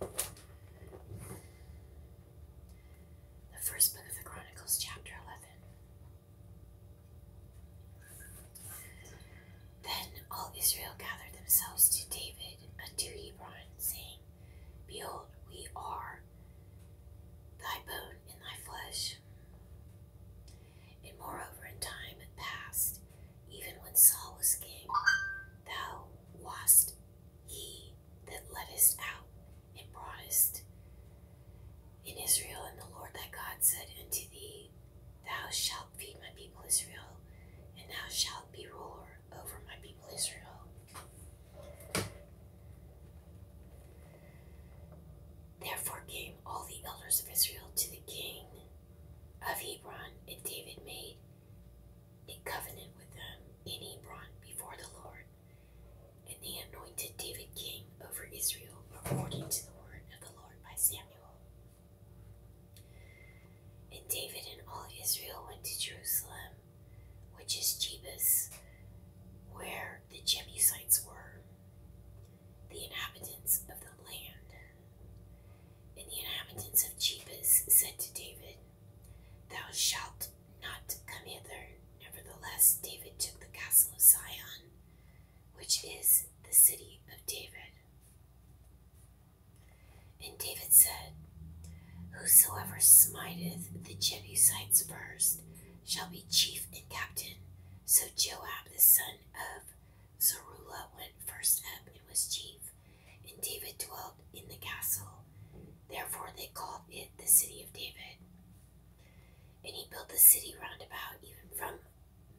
The first book of the Chronicles, chapter 11. Then all Israel gathered themselves to David unto Hebron, saying, Behold, we are thy bone and thy flesh. And moreover, in time past, even when Saul was king, thou wast he that led us out and brought us in Israel, and the Lord thy God said unto thee, Thou shalt feed my people Israel, and thou shalt be ruler over my people Israel. Therefore came all the elders of Israel to the king of Hebron, and David made in covenant with them in Hebron before the Lord. And the anointed David king over Israel according to the word of the Lord by Samuel. And David and all Israel went to Jerusalem, which is Jebus, where the Jebusites were, the inhabitants of the land. And the inhabitants of Jebus said to David, Thou shalt not come hither. Nevertheless, David took the castle of Zion, which is the city of David. And David said, Whosoever smiteth the Jebusites first shall be chief and captain. So Joab the son of Zeruiah went first up and was chief, and David dwelt in the castle. Therefore they called it the city of David. And he built the city round about, even from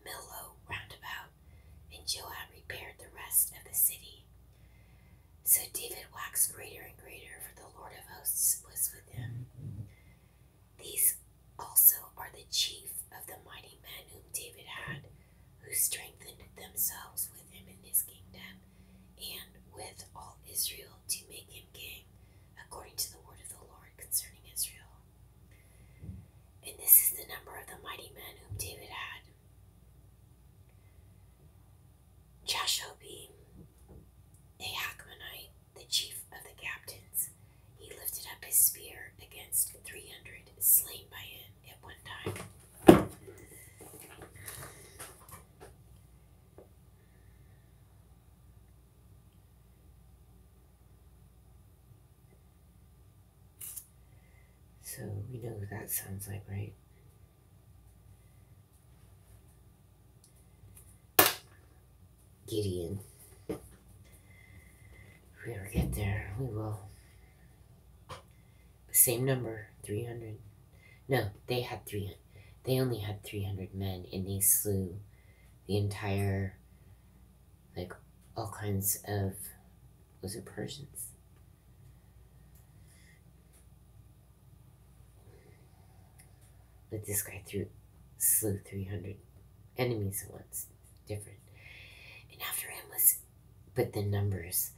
Millo round about. And Joab repaired the rest of the city. So David waxed greater and greater, for the Lord of hosts was with him. These also are the chief of the mighty men whom David had who strengthened themselves with him in his kingdom, and with all Israel to make him king, according to the word of the Lord concerning Israel. And this is the number of the mighty men whom David had Jashobim, a Hakmonite, the chief of the captains. He lifted up his spear against 300 slain by him at one time. So we know what that sounds like, right? Gideon. If we ever get there, we will same number, 300. No, they had 300. They only had 300 men, and they slew the entire, like, all kinds of, was it Persians? But this guy threw, slew 300 enemies at once. Different. And after him was but the numbers.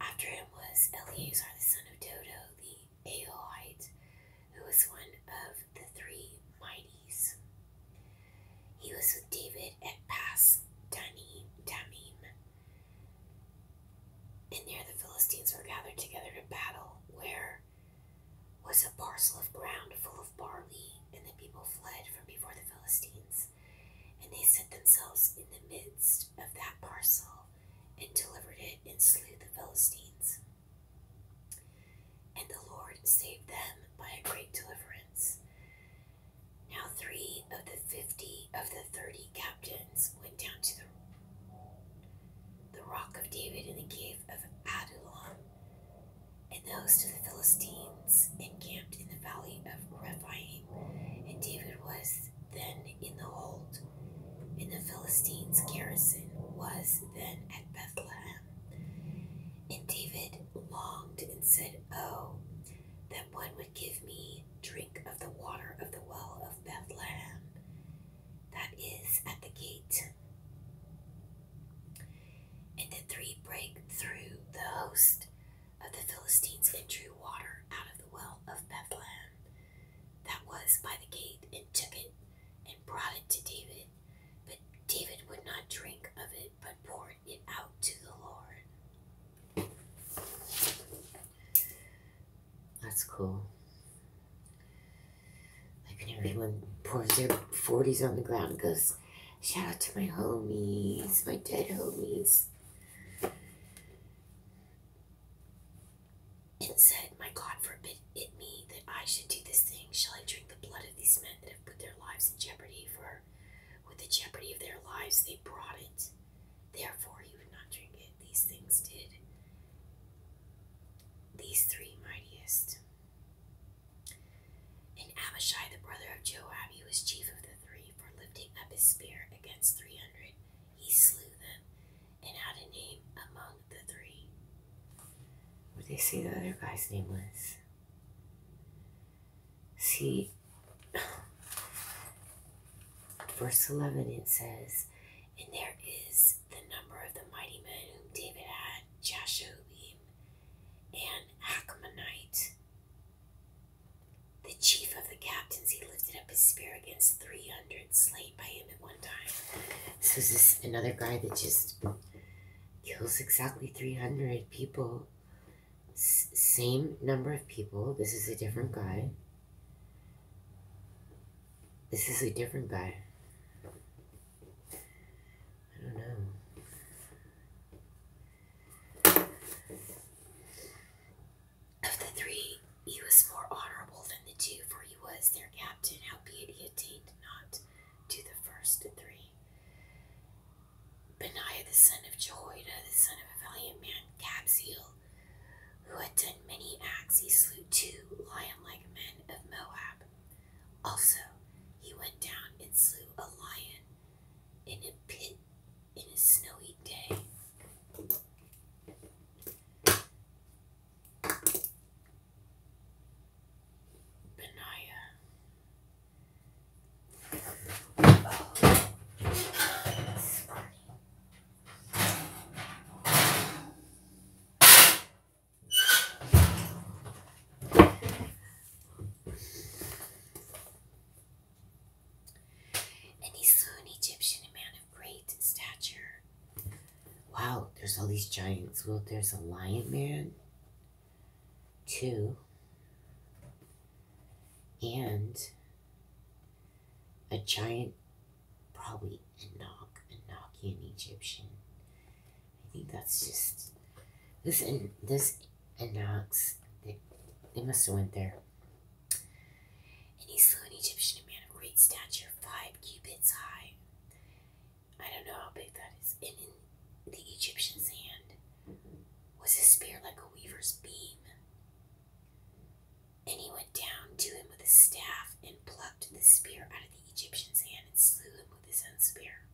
After him was Eleazar the son of Dodo the Aholite, who was one of the three mighties. He was with David at Pass Damim, and there the Philistines were gathered together to battle, where was a parcel of ground full of barley, and the people fled from before the Philistines. And they set themselves in the midst of that parcel and delivered it and slew the Philistines. And the Lord saved them by a great deliverance. Now three of the fifty of the thirty captains went down to the, the rock of David in the cave of Adullam, and the host of the Philistines encamped in the valley of Rephaim, and David was then in the hold, in the Philistines' garrison, was then at Bethlehem. And David longed and said, Oh, that one would give me drink of the water of the well of Bethlehem, that is at the gate. And the three break through the host of the Philistines and drew water out of the well of Bethlehem that was by the gate and took it and brought it to David. But David would not drink of it but poured it out to the Lord. That's cool. Like when everyone pours their 40s on the ground and goes, Shout out to my homies, my dead homies and said, My God, forbid it me that I should do this thing. Shall I drink the blood of these men that have put their lives in jeopardy? For with the jeopardy of their lives they brought it. Therefore, he would not drink it. These things did these three mightiest. And Abishai, the brother of Joab, he was chief of the three, for lifting up his spear against three hundred he slew them and had a name among the three. What they say the other guy's name was? See, verse 11 it says, And there is the number of the mighty men whom David had, Jashobim and Achamonite, the chief of the captains, he lifted up his spear against 300 slain by him at one time. So, is another guy that just kills exactly 300 people? same number of people. This is a different guy. This is a different guy. I don't know. Of the three, he was more honorable than the two, for he was their captain, howbeit he attained not to the first three. Benaiah the son of Jehoiada, the son of a valiant man, Kabzeel, who had done many acts, he slew two lion like men of Moab. Also, he went down and slew a lion in a pit in a snowy day. Benaya. Oh, and he saw an Egyptian, man of great stature. Wow, there's all these giants. Well, there's a lion man, two, and a giant, probably Enoch, Enochian Egyptian. I think that's just this. and This Enoch's. They, they must have went there and he slew an Egyptian man of great stature, five cubits high. I don't know how big that is. And in the Egyptian's hand was a spear like a weaver's beam. And he went down to him with a staff and plucked the spear out of the Egyptian's hand and slew him with his own spear.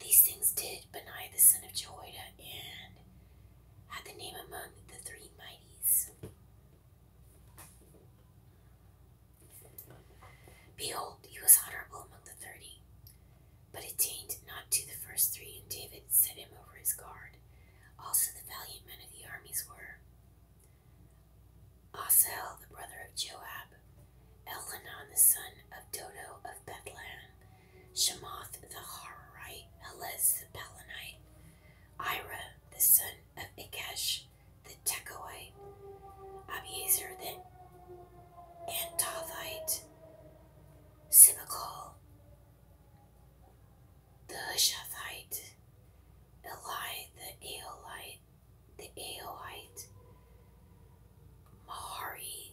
These things did Benaiah the son of Jehoiada and had the name among the three mighties. Behold, he was honorable among the thirty, but attained not to the first three, and David set him over his guard. Also, the valiant men of the armies were Asel, the brother of Joab, Elhanan, the son of Dodo of Bethlehem, Shamath the Hararite, Helez the Pelonite, Ira the son of Ikesh the Tekoite, Abiezer the Antothite, Simicol the Hushathite, Eli the Aolite, the Aoite, Mahari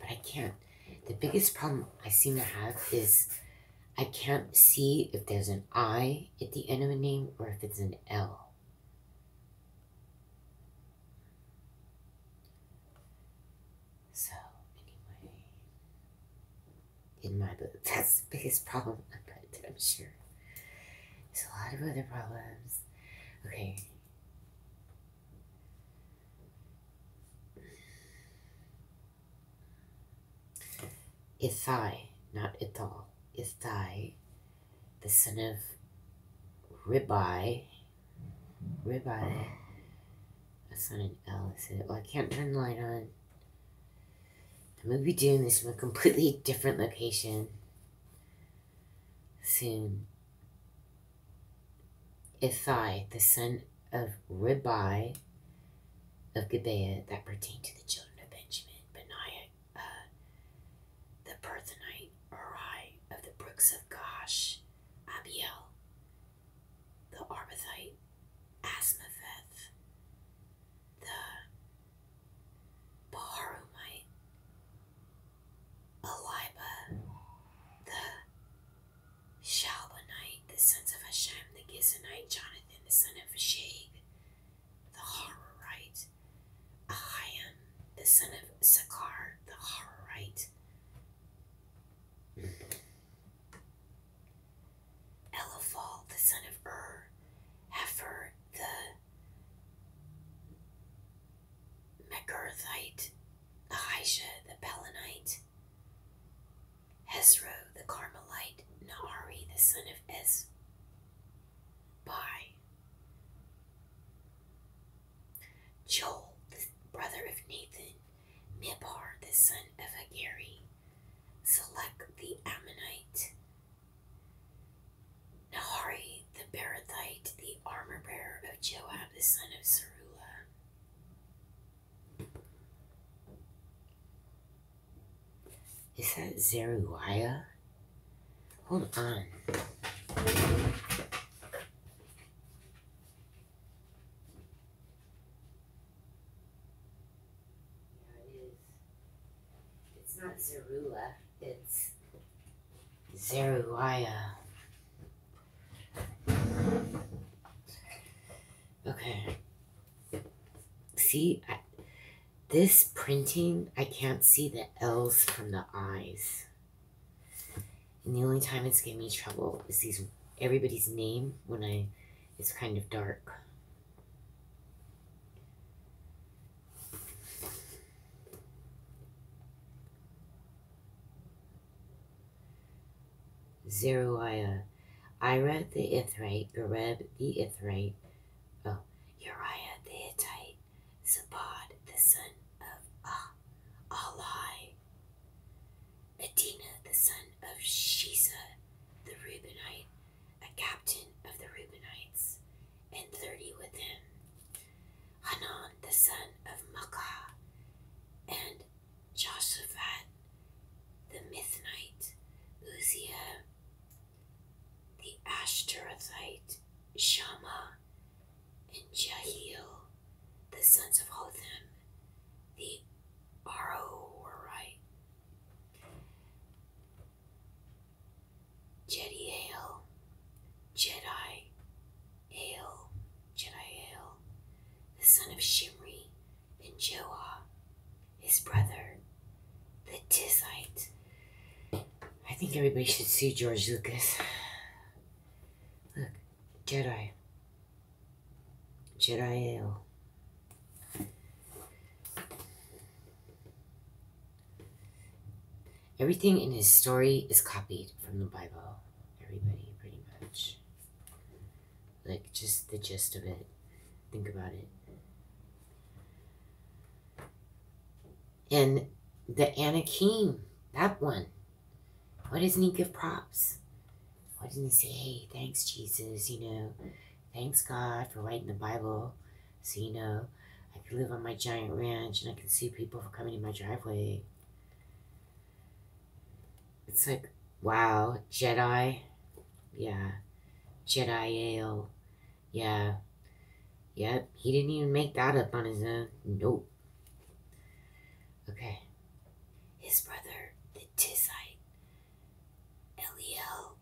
But I can't. The biggest problem I seem to have is I can't see if there's an I at the end of a name or if it's an L. So, anyway, in my book, that's the biggest problem I'm, I'm sure. There's a lot of other problems. Okay, Ithai, not Ithal, Ithai, the son of Ribai, Ribai, that's not an L, Well, I can't turn the light on. I'm gonna be doing this from a completely different location. Soon, Ithai, the son of Ribai of Gibeah, that pertained to the children of Benjamin, Benaiah, uh, the Perthonite, Arai of the brooks of Gosh, Abiel, the Arbathite, Asmapheth, the Baharumite, Eliba, the Shalbonite, the sons of Hashem, the Gizonite, Jonathan, the son of Shag, the Harorite, Ahiam, the son of Sakar, the Harorite, Eliphal, the son of Ur, Hefer, the Megarthite, Ahijah the Pelonite, Hesro the Carmelite, Nahari the son of Es, By Joel, the brother of Nathan, Mibhar, the son of Agari, Select the Ammonite, Nahari the Barathite, the armor bearer of Joab, the son of Sarula. Is that Zeruiah? Hold on. Yeah, it is. It's not Zerula. It's Zeruiah. Okay. See, this printing, I can't see the L's from the I's. And the only time it's giving me trouble is these everybody's name when I, it's kind of dark. Zeruiah, Ira the Ithrite, Gareb the Ithrite, oh, Uriah the Hittite, Zabad the son of ah, Ali, Adina the son of Shiza the Reubenite, a captain of the Reubenites, and thirty with him Hanan the son of Makkah, and Joshaphat the Mithnite, Uzziah the Ashtarothite, Shammah, and Jahiel the sons of Hotham, the Aroerite. Jedi Hale, Jedi Hale, Jedi Hale, the son of Shimri and Joah, his brother, the Tizite. I think everybody should see George Lucas. Look, Jedi. Jedi Hale. Everything in his story is copied from the Bible. Everybody, pretty much. Like, just the gist of it. Think about it. And the Anakim, that one. What doesn't he give props? What doesn't he say, thanks, Jesus, you know, thanks, God, for writing the Bible. So, you know, I could live on my giant ranch and I could see people coming in my driveway. It's like, wow, Jedi. Yeah. Jedi Ale. Yeah. Yep, he didn't even make that up on his own. Nope. Okay. His brother, the Tizite, Eliel,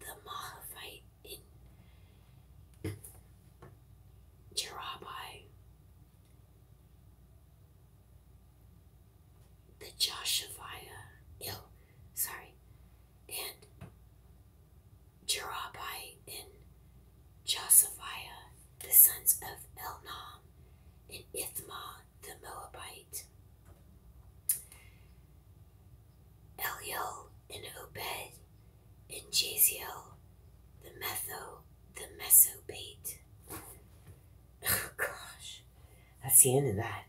the Mahavite, Jerabbi, the Joshaviah, ill, sorry, and Jerabbi and Josaphiah, the sons of Elnam, and Ithma the Moabite, Eliel and Obed and Jaziel, the Metho, the Mesopate. Oh gosh, that's the end of that.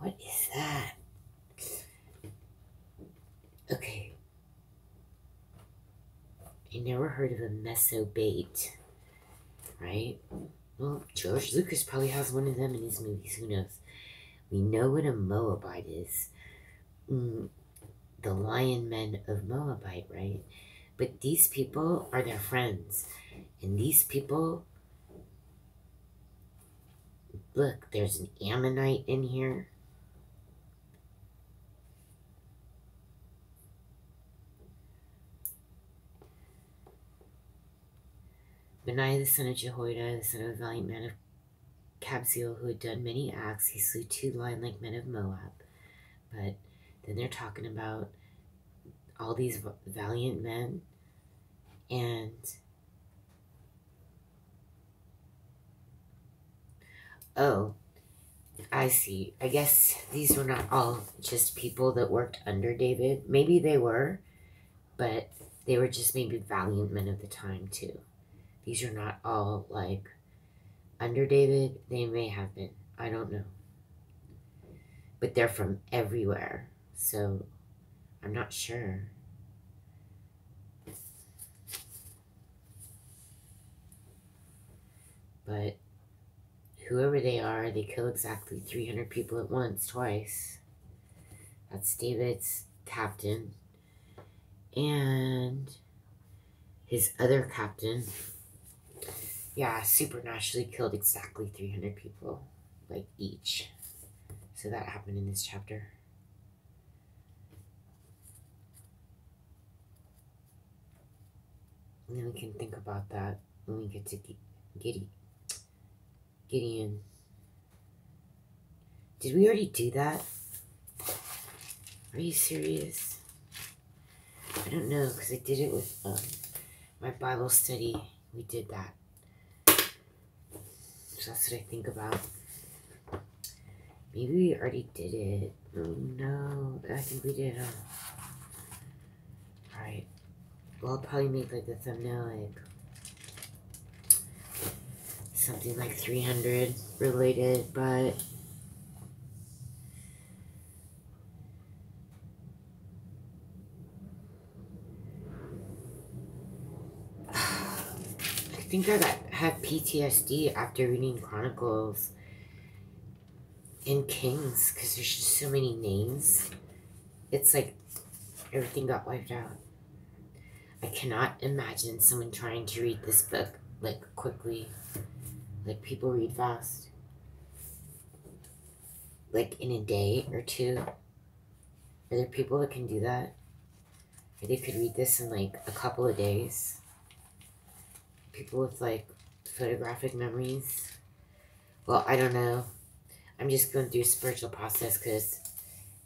What is that? Okay. I never heard of a bait, right? Well, George Lucas probably has one of them in his movies. Who knows? We know what a Moabite is. Mm, the lion men of Moabite, right? But these people are their friends. And these people, look, there's an Ammonite in here. Benaiah the son of Jehoiada, the son of a valiant man of Kabzeel, who had done many acts, he slew two lion-like men of Moab. But then they're talking about all these valiant men and oh i see i guess these were not all just people that worked under david maybe they were but they were just maybe valiant men of the time too these are not all like work. Under David, they may have been. I don't know. But they're from everywhere, so I'm not sure. But whoever they are, they kill exactly 300 people at once, twice. That's David's captain, and his other captain, yeah, supernaturally killed exactly 300 people, like each. So that happened in this chapter. And then we can think about that when we get to Gide Gideon. Did we already do that? Are you serious? I don't know, because I did it with um, my Bible study. We did that. So that's what I think about. Maybe we already did it. Oh, no, I think we did. Um, alright. Well, I'll probably make like a thumbnail, like something like 300 related, but I think I got, had PTSD after reading Chronicles and Kings because there's just so many names. It's like everything got wiped out. I cannot imagine someone trying to read this book like quickly. Like people read fast. Like in a day or two. Are there people that can do that? they could read this in like a couple of days. People with like photographic memories. Well, I don't know. I'm just going through a spiritual process because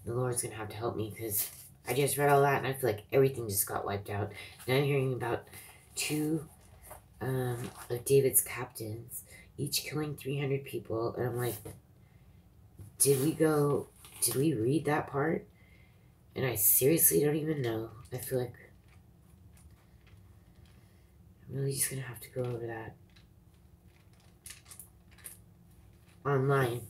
the Lord's going to have to help me because I just read all that and I feel like everything just got wiped out. Now I'm hearing about two um, of David's captains, each killing 300 people. And I'm like, did we go, did we read that part? And I seriously don't even know. I feel like I'm really just gonna have to go over that online.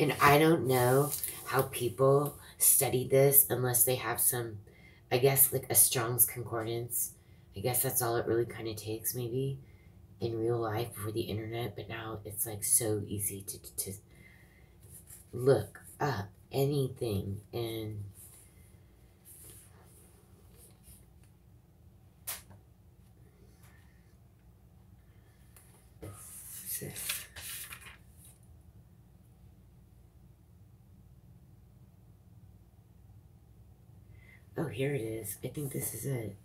And I don't know how people study this unless they have some, I guess, like a Strong's Concordance. I guess that's all it really kind of takes, maybe, in real life before the internet. But now it's like so easy to, to, to look up anything and Oh, here it is. I think this is it.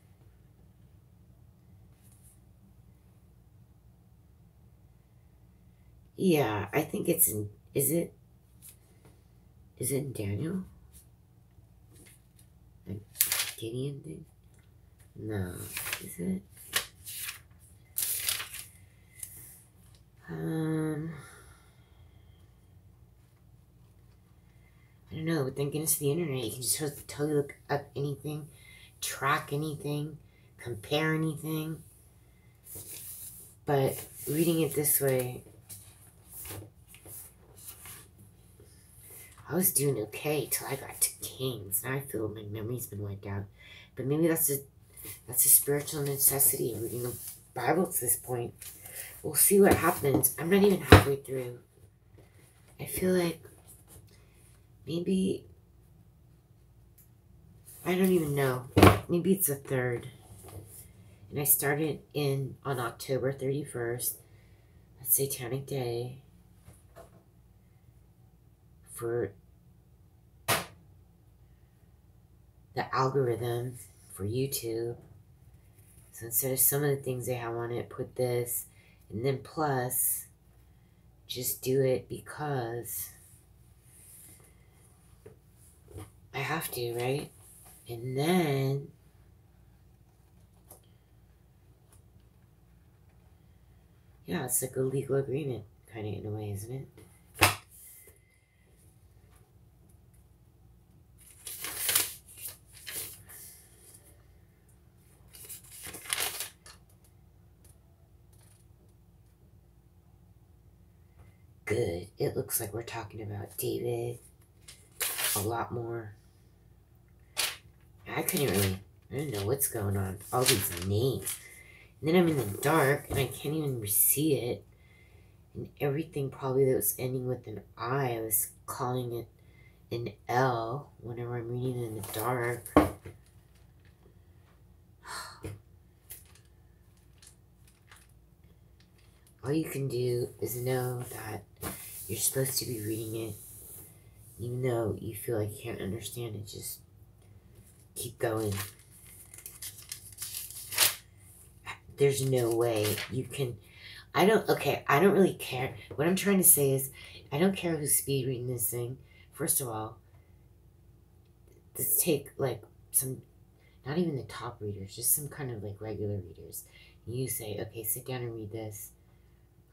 Yeah, I think it's in, is it, is it Daniel? Like Gideon thing? No, is it? Um, I don't know. But thank goodness for the internet. You can just totally look up anything, track anything, compare anything. But reading it this way, I was doing okay till I got to Kings. Now I feel my memory's been wiped out. But maybe that's just that's a spiritual necessity, reading the Bible to this point. We'll see what happens. I'm not even halfway through. I feel like maybe, I don't even know. Maybe it's a third. And I started in on October 31st. That's Satanic Day for the algorithm for YouTube. So instead of some of the things they have on it, put this and then plus just do it because I have to, right? And then yeah, it's like a legal agreement, kind of in a way, isn't it? Good. It looks like we're talking about David a lot more. I couldn't really, I don't know what's going on. All these names. And then I'm in the dark and I can't even see it. And everything probably that was ending with an I, I was calling it an L whenever I'm reading in the dark. All you can do is know that you're supposed to be reading it, even though you feel like you can't understand it, just keep going. There's no way you can... I don't... Okay, I don't really care. What I'm trying to say is, I don't care who's speed reading this thing. First of all, let's take, like, some... Not even the top readers, just some kind of, like, regular readers. You say, okay, sit down and read this.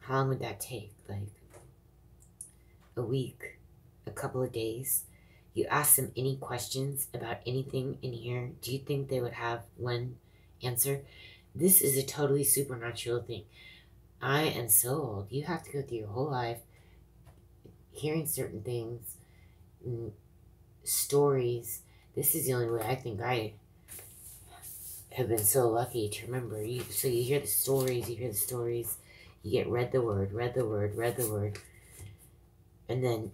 How long would that take? Like, a week, a couple of days. You ask them any questions about anything in here. Do you think they would have one answer? This is a totally supernatural thing. I am so old. You have to go through your whole life hearing certain things, mm, stories. This is the only way I think I have been so lucky to remember. You, so you hear the stories, you hear the stories, you get read the word, read the word, read the word. And then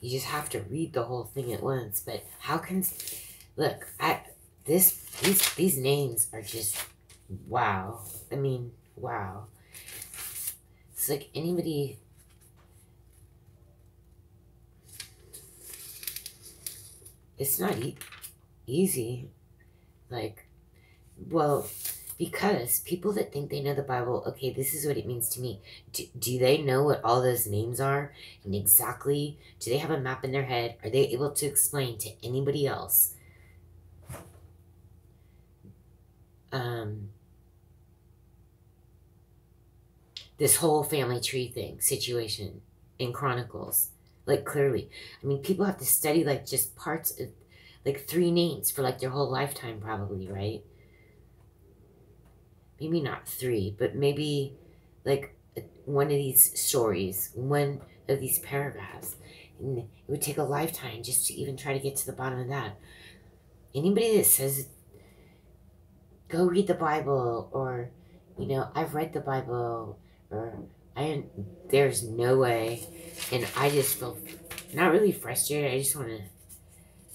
you just have to read the whole thing at once. But how can look, I this these these names are just wow. I mean, wow. It's like anybody it's not easy. Like, well, because people that think they know the Bible, okay, this is what it means to me. Do, do they know what all those names are and exactly? Do they have a map in their head? Are they able to explain to anybody else? Um, this whole family tree thing situation in Chronicles. Like clearly, I mean, people have to study like just parts of like three names for like their whole lifetime, probably, right? Maybe not three, but maybe like one of these stories, one of these paragraphs. And it would take a lifetime just to even try to get to the bottom of that. Anybody that says go read the Bible or you know, I've read the Bible or I there's no way and I just feel not really frustrated. I just want to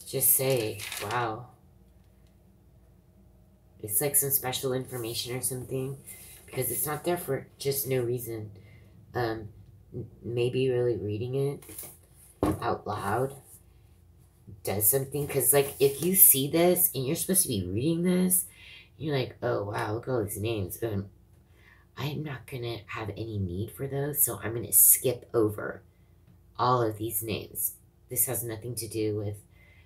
just say, wow. It's like some special information or something because it's not there for just no reason. Um, maybe really reading it out loud does something because like if you see this and you're supposed to be reading this you're like oh wow look all these names um, i'm not gonna have any need for those so i'm gonna skip over all of these names this has nothing to do with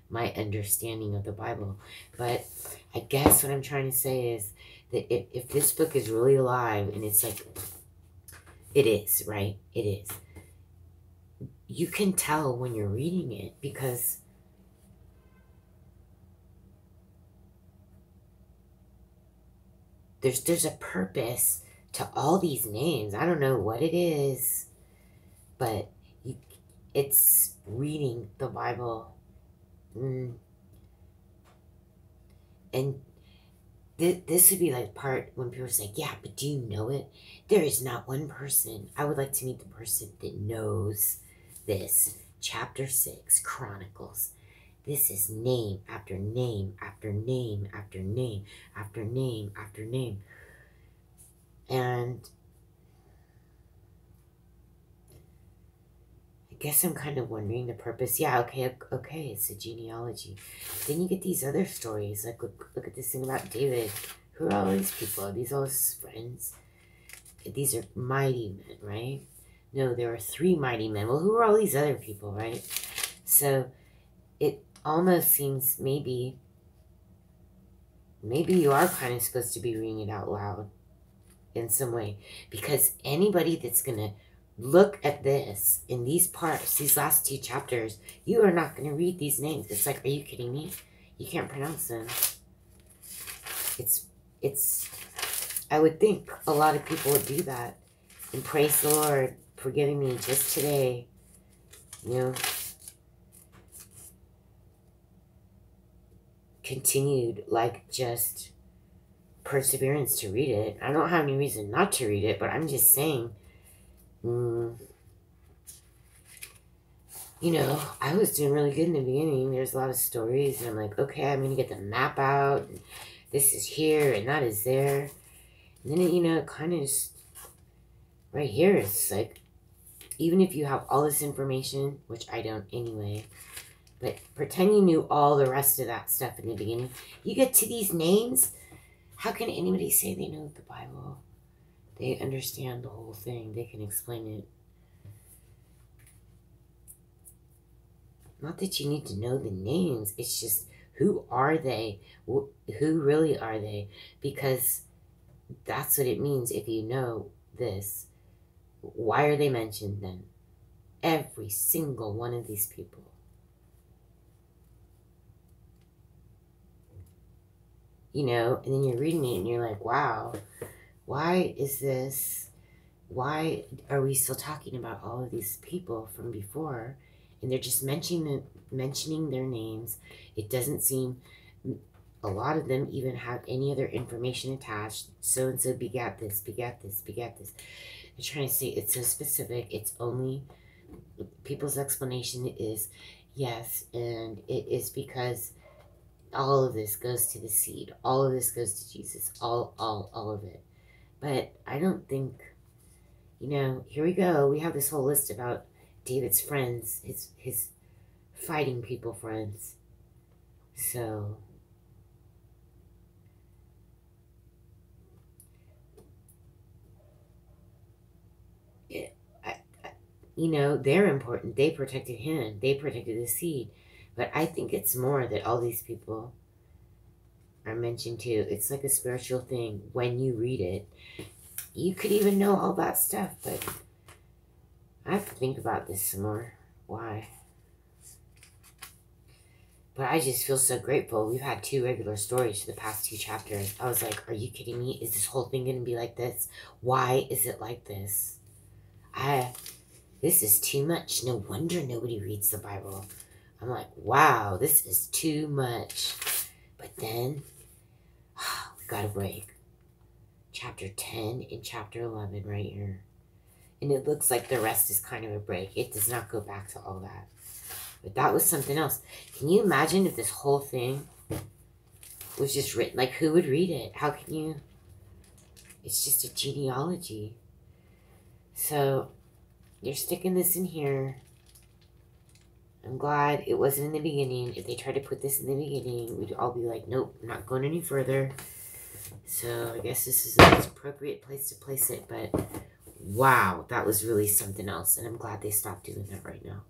my understanding of the bible but i guess what i'm trying to say is that if, if this book is really alive and it's like it is right it is you can tell when you're reading it because there's there's a purpose to all these names. I don't know what it is, but it's reading the Bible. Mm. And th- this would be like part when people say, yeah, but do you know it? There is not one person. I would like to meet the person that knows this. Chapter 6, Chronicles. This is name after name after name after name after name after name. And I guess I'm kind of wondering the purpose. Yeah, okay, okay, it's a genealogy. Then you get these other stories. Like, look, look at this thing about David. Who are all these people? These all his friends? These are mighty men, right? No, there are three mighty men. Well, who are all these other people, right? So it almost seems maybe maybe you are kind of supposed to be reading it out loud in some way because anybody that's going to look at this in these parts, these last two chapters, you are not going to read these names. It's like, are you kidding me? you can't pronounce them. It's, it's, I would think a lot of people would do that. And praise the Lord for giving me just today, you know, continued, like, just perseverance to read it. I don't have any reason not to read it, but I'm just saying, mm, you know, I was doing really good in the beginning. There's a lot of stories, and I'm like, okay, I'm gonna get the map out. this is here, and that is there. And then you know, kind of right here. It's like, even if you have all this information, which I don't anyway, but pretend you knew all the rest of that stuff in the beginning. You get to these names. How can anybody say they know the Bible? They understand the whole thing. They can explain it. Not that you need to know the names. It's just who are they? Who really are they? Because that's what it means if you know this. Why are they mentioned then? Every single one of these people. You know, and then you're reading it and you're like, wow, why is this? Why are we still talking about all of these people from before? And they're just mentioning mentioning their names. It doesn't seem a lot of them even have any other information attached. So and so begat this, begat this, begat this. They're trying to say it's so specific. It's only people's explanation is Yes, and it is because all of this goes to the seed. All of this goes to Jesus. All, all, all of it. But I don't think, you know, here we go. We have this whole list about David's friends, his, his fighting people friends. So, it, I, you know, they're important. They protected him, they protected the seed. But I think it's more that all these people are mentioned too. It's like a spiritual thing when you read it. You could even know all that stuff, but I have to think about this some more. Why? But I just feel so grateful. We've had two regular stories to the past two chapters. I was like, are you kidding me? Is this whole thing going to be like this? Why is it like this? I this is too much. No wonder nobody reads the Bible. I'm like, wow, this is too much. But then we got a break. Chapter 10 and chapter 11 right here. And it looks like the rest is kind of a break. It does not go back to all that. But that was something else. Can you imagine if this whole thing was just written. Like, who would read it? How can you? It's just a genealogy. So, you're sticking this in here. I'm glad it wasn't in the beginning. If they tried to put this in the beginning, we'd all be like, nope, not going any further. So I guess this is the most appropriate place to place it, but wow, that was really something else. And I'm glad they stopped doing that right now.